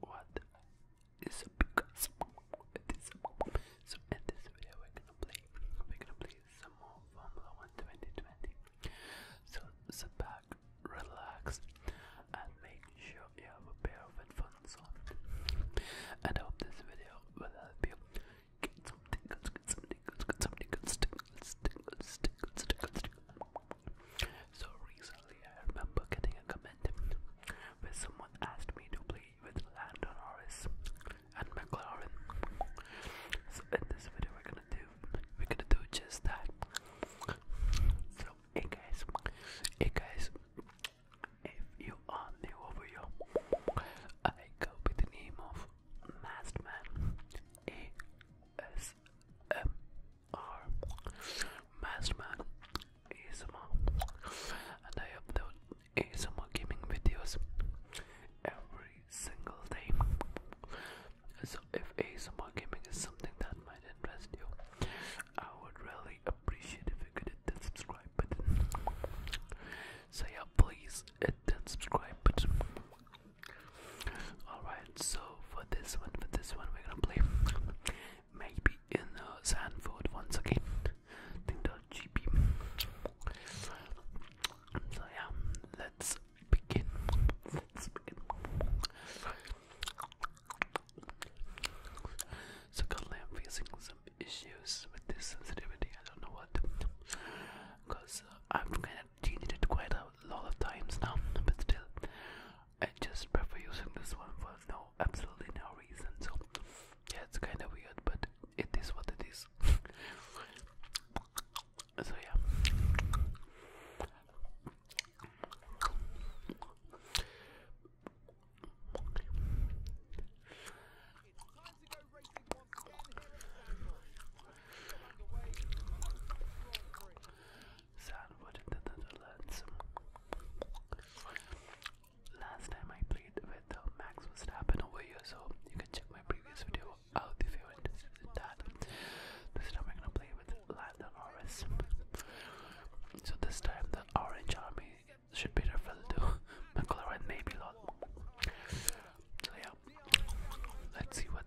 What is up guys? It is up. So in this video we're gonna play we're gonna play some more Formula 1 2020. So sit back, relax and make sure you have a pair of headphones on. And I hope this video will help you get some tingles, get some tingles, get some tingles, tingles, tingles, tingles, tingles, tingles. So recently, I remember getting a comment where someone asked me to play with Landon Norris and McLaren. So in this video, we're gonna do we're gonna do just that. So hey guys, hey guys, if you are new over here, I go by the name of Mastman A S M are Masked Man ASMR and I upload ASMR gaming videos every single day. So if ASMR gaming is something that might interest you, I would really appreciate if you could hit that subscribe button. So yeah, please hit that subscribe button. Alright, so for this one, for this one, we're gonna play maybe in the uh, Sanford once again. the GP. So yeah, let's begin. So currently I'm facing some issues with this sensitivity. I don't know what, uh, I've kind i it quite a lot of times now, but still, I just prefer using this one for no, absolutely no reason. So, yeah, it's kind of weird, but it is what it is. so, yeah. Sandwood Netherlands. Last time I played with uh, Max Verstappen over here, so you can check my previous video out if you're interested in that. This time I'm gonna play with Lando Norris. So this time the Orange Army should be referred to McLaren maybe lot. So yeah, let's see what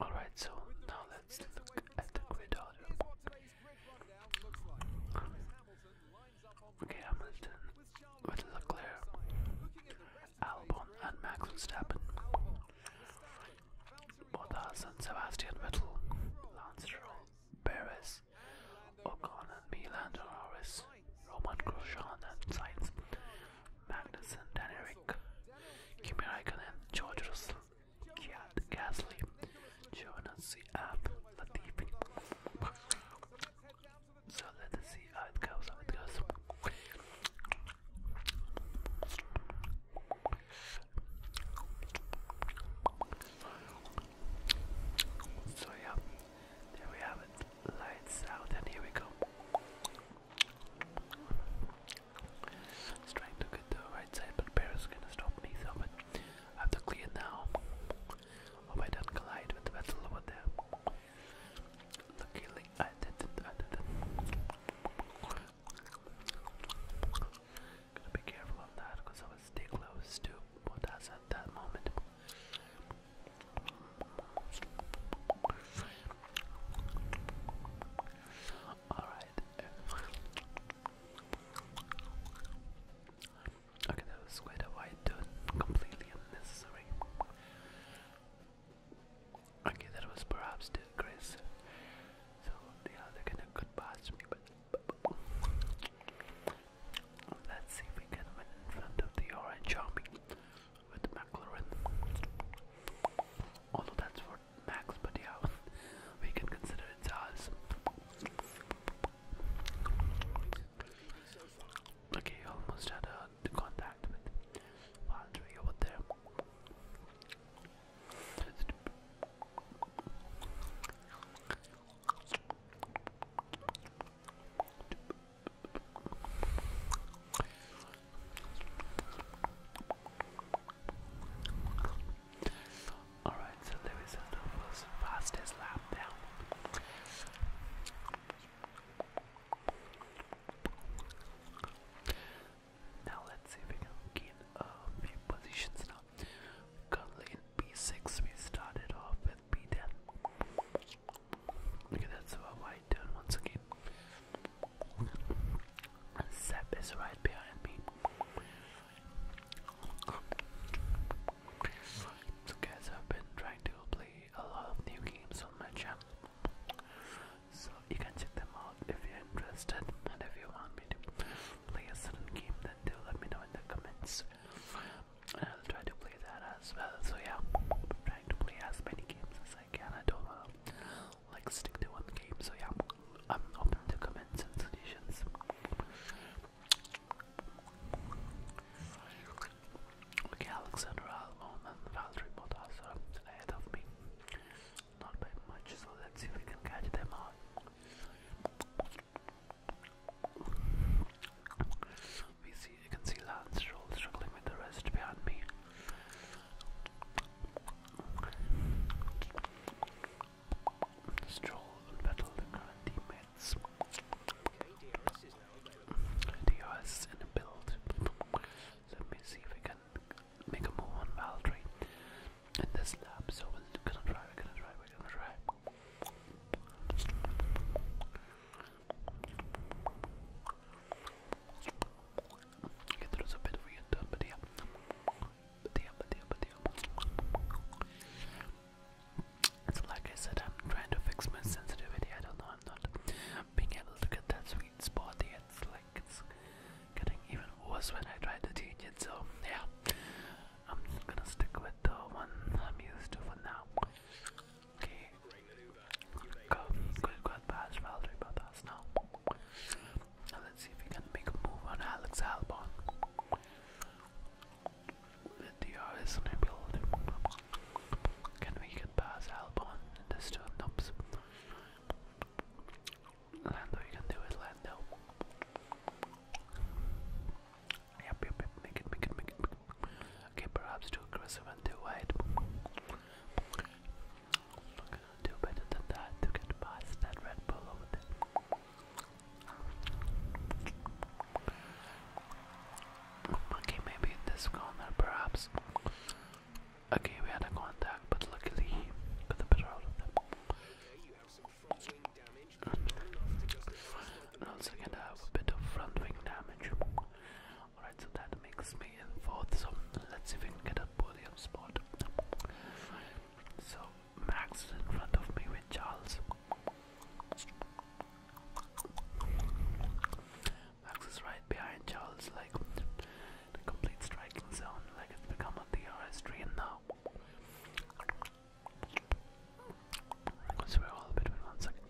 Alright, so now let's look at the grid order. Okay, Hamilton with Leclerc, Albon and Max Verstappen, Bottas and Sebastian Vettel, Lance Stroll, Perez, Alvarez, O'Connor and Milan Torres, Roman Grosjean and Sainz, Magnussen, Dan Eric, Kimi Raikkonen, George Kiat Gasly, Jonas App, Latifi. So let's see how it goes, how it goes. So yeah, there we have it. Lights out, and here we go. trying to get to the right side, but Paris gonna stop me, so but I have to clear now. Hope I don't collide with the vessel over there. Luckily, I didn't. I didn't. Gotta be careful on that, because I was stay close to what has that moment. Alright. Okay, that was quite a wide Completely unnecessary. Okay, that was perhaps too aggressive. So, yeah, they're gonna pass me, but Let's see if we can win in front of the Orange Army with McLaurin. Although that's for Max, but yeah, we can consider it's ours. Okay, almost had a contact with Valdry over there. Alright, so Lewis is the first lap down. Now let's see if we can gain a few positions now. Currently in B6, we started off with B10. Okay, that's our white turn once again. And is right behind me. So, guys, I've been trying to play a lot of new games on my channel. So, you can check them out if you're interested and if you want me to play a certain game, then do let me know in the comments. And I'll try to play that as well. So yeah, I'm trying to play as many games as I can. I don't wanna like stick to one game. So yeah, I'm open to comments and suggestions. Okay, Alexander Almon and Valerie Modasa ahead of me. Not by much, so let's see if we can catch them all. We see you can see Lance Stroll struggling with the rest behind me. Stroll battled the current teammates. DRS in a build. Let me see if we can make a move on Valtteri in this lab. So we're gonna try, we're gonna try, we're gonna try. Okay, that a bit weird but yeah. But yeah, but yeah, but yeah. So like I said, I'm trying to fix my sensitivity. I don't know, I'm not being able to get that sweet spot yet. like it's getting even worse when I try to teach it. So yeah, I'm gonna stick with the one I'm used to for now. Okay, go, go, go past Valerie now. Let's see if we can make a move on Alex Albon. The DR is enabled. Can we get past Albon in this turn? Oops. Lando, you can do it, Lando. Yep, yep, yep, make it, make it, make it. Okay, perhaps too aggressive and too wide. do better than that to get past that Red Bull over there. Okay, maybe this corner, perhaps. Okay, we had a contact, but luckily got the better out of them. have a bit of front wing damage. Alright, so that makes me in fourth. So let's see if we can get a podium spot. So Max is in front of me with Charles. Max is right behind Charles, like the complete striking zone, like it's become a thing of now. So we're all between one second.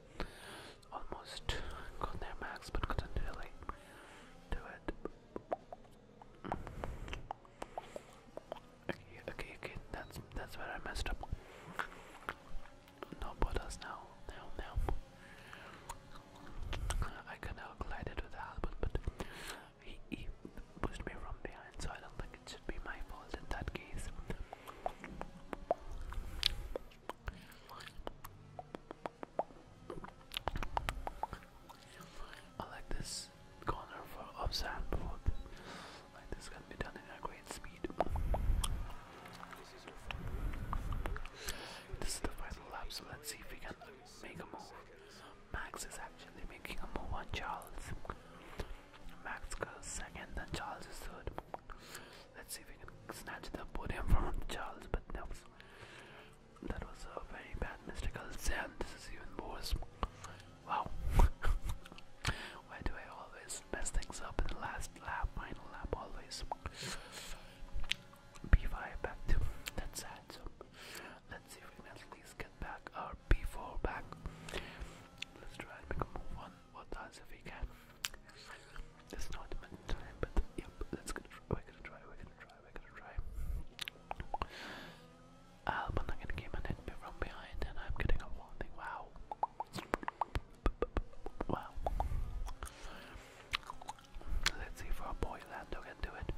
Almost got there, Max, but couldn't really do it. Okay, okay, okay. That's that's where I messed up. No, put now, now, now. I kind of collided with the but he, pushed me from behind, so I don't think it should be my fault in that case. I like this corner for of sandboard. this can be done in a great speed. This is the final lap, so let's see if we can make a move. Max is actually making a move on Charles. Max goes second, then Charles is third. Let's see if we can snatch the podium from Charles, but no. That was a very bad mistake. I'll say, and this is even worse. Wow. Why do I always mess mess things up in the last lap, final lap always. B5 back to that's sad. let's see if we at least get back our B4 back. Let's try and make a move on what does if we can. It's not much time, but yep, let's go. We're gonna try, we're gonna try, we're gonna try. Alban again came and hit me from behind, and I'm getting a warning. Wow. Wow. Let's see if our boy Lando can do it.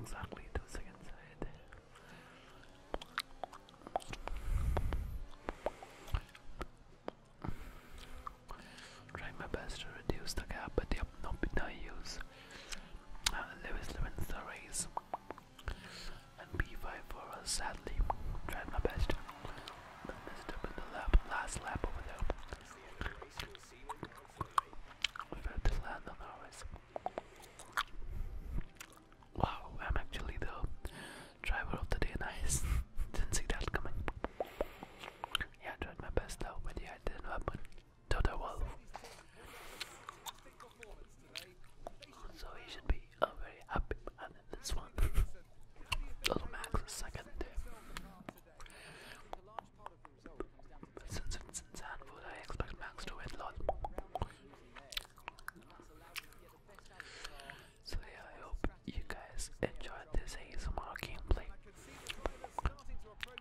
Exactly two seconds Trying my best to reduce the gap, but yep, nope, no use. Uh, Lewis Lewin the race. And P5 for us, sadly. Tried my best. last lap over there. Wow, I'm actually the driver of the day, nice. Didn't see that coming. Yeah, tried my best though, but yeah, didn't happen. Toto Wolf. So he should be a very happy man in this one. Little Max is second. since it's in Sandwood, I expect Max to win lot. So yeah, I hope you guys enjoyed this ASMR gameplay.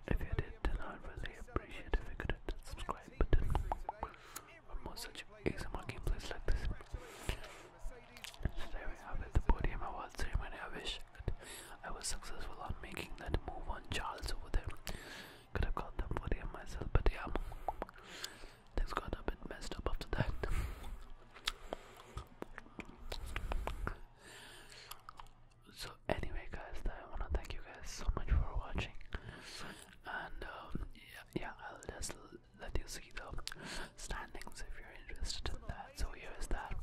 If you did, then I'd really appreciate if you could hit that subscribe button for more such ASMR gameplays like this. And today we the podium award ceremony. I wish I was successful on making that move on Charles over there. Could have got the podium myself, but yeah, things got a bit messed up after that so anyway guys i want to thank you guys so much for watching and um, yeah, yeah i'll just let you see the standings if you're interested in that so here is that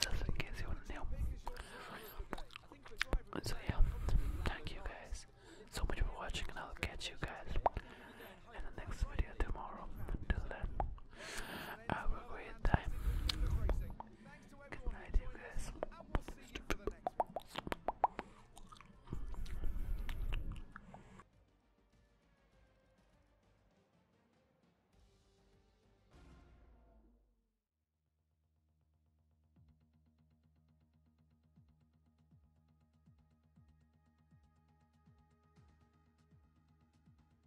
just in case you want to know so yeah thank you guys so much for watching and i'll catch you guys in the next video tomorrow until then have a great time Thanks to everyone and we'll see you the next one.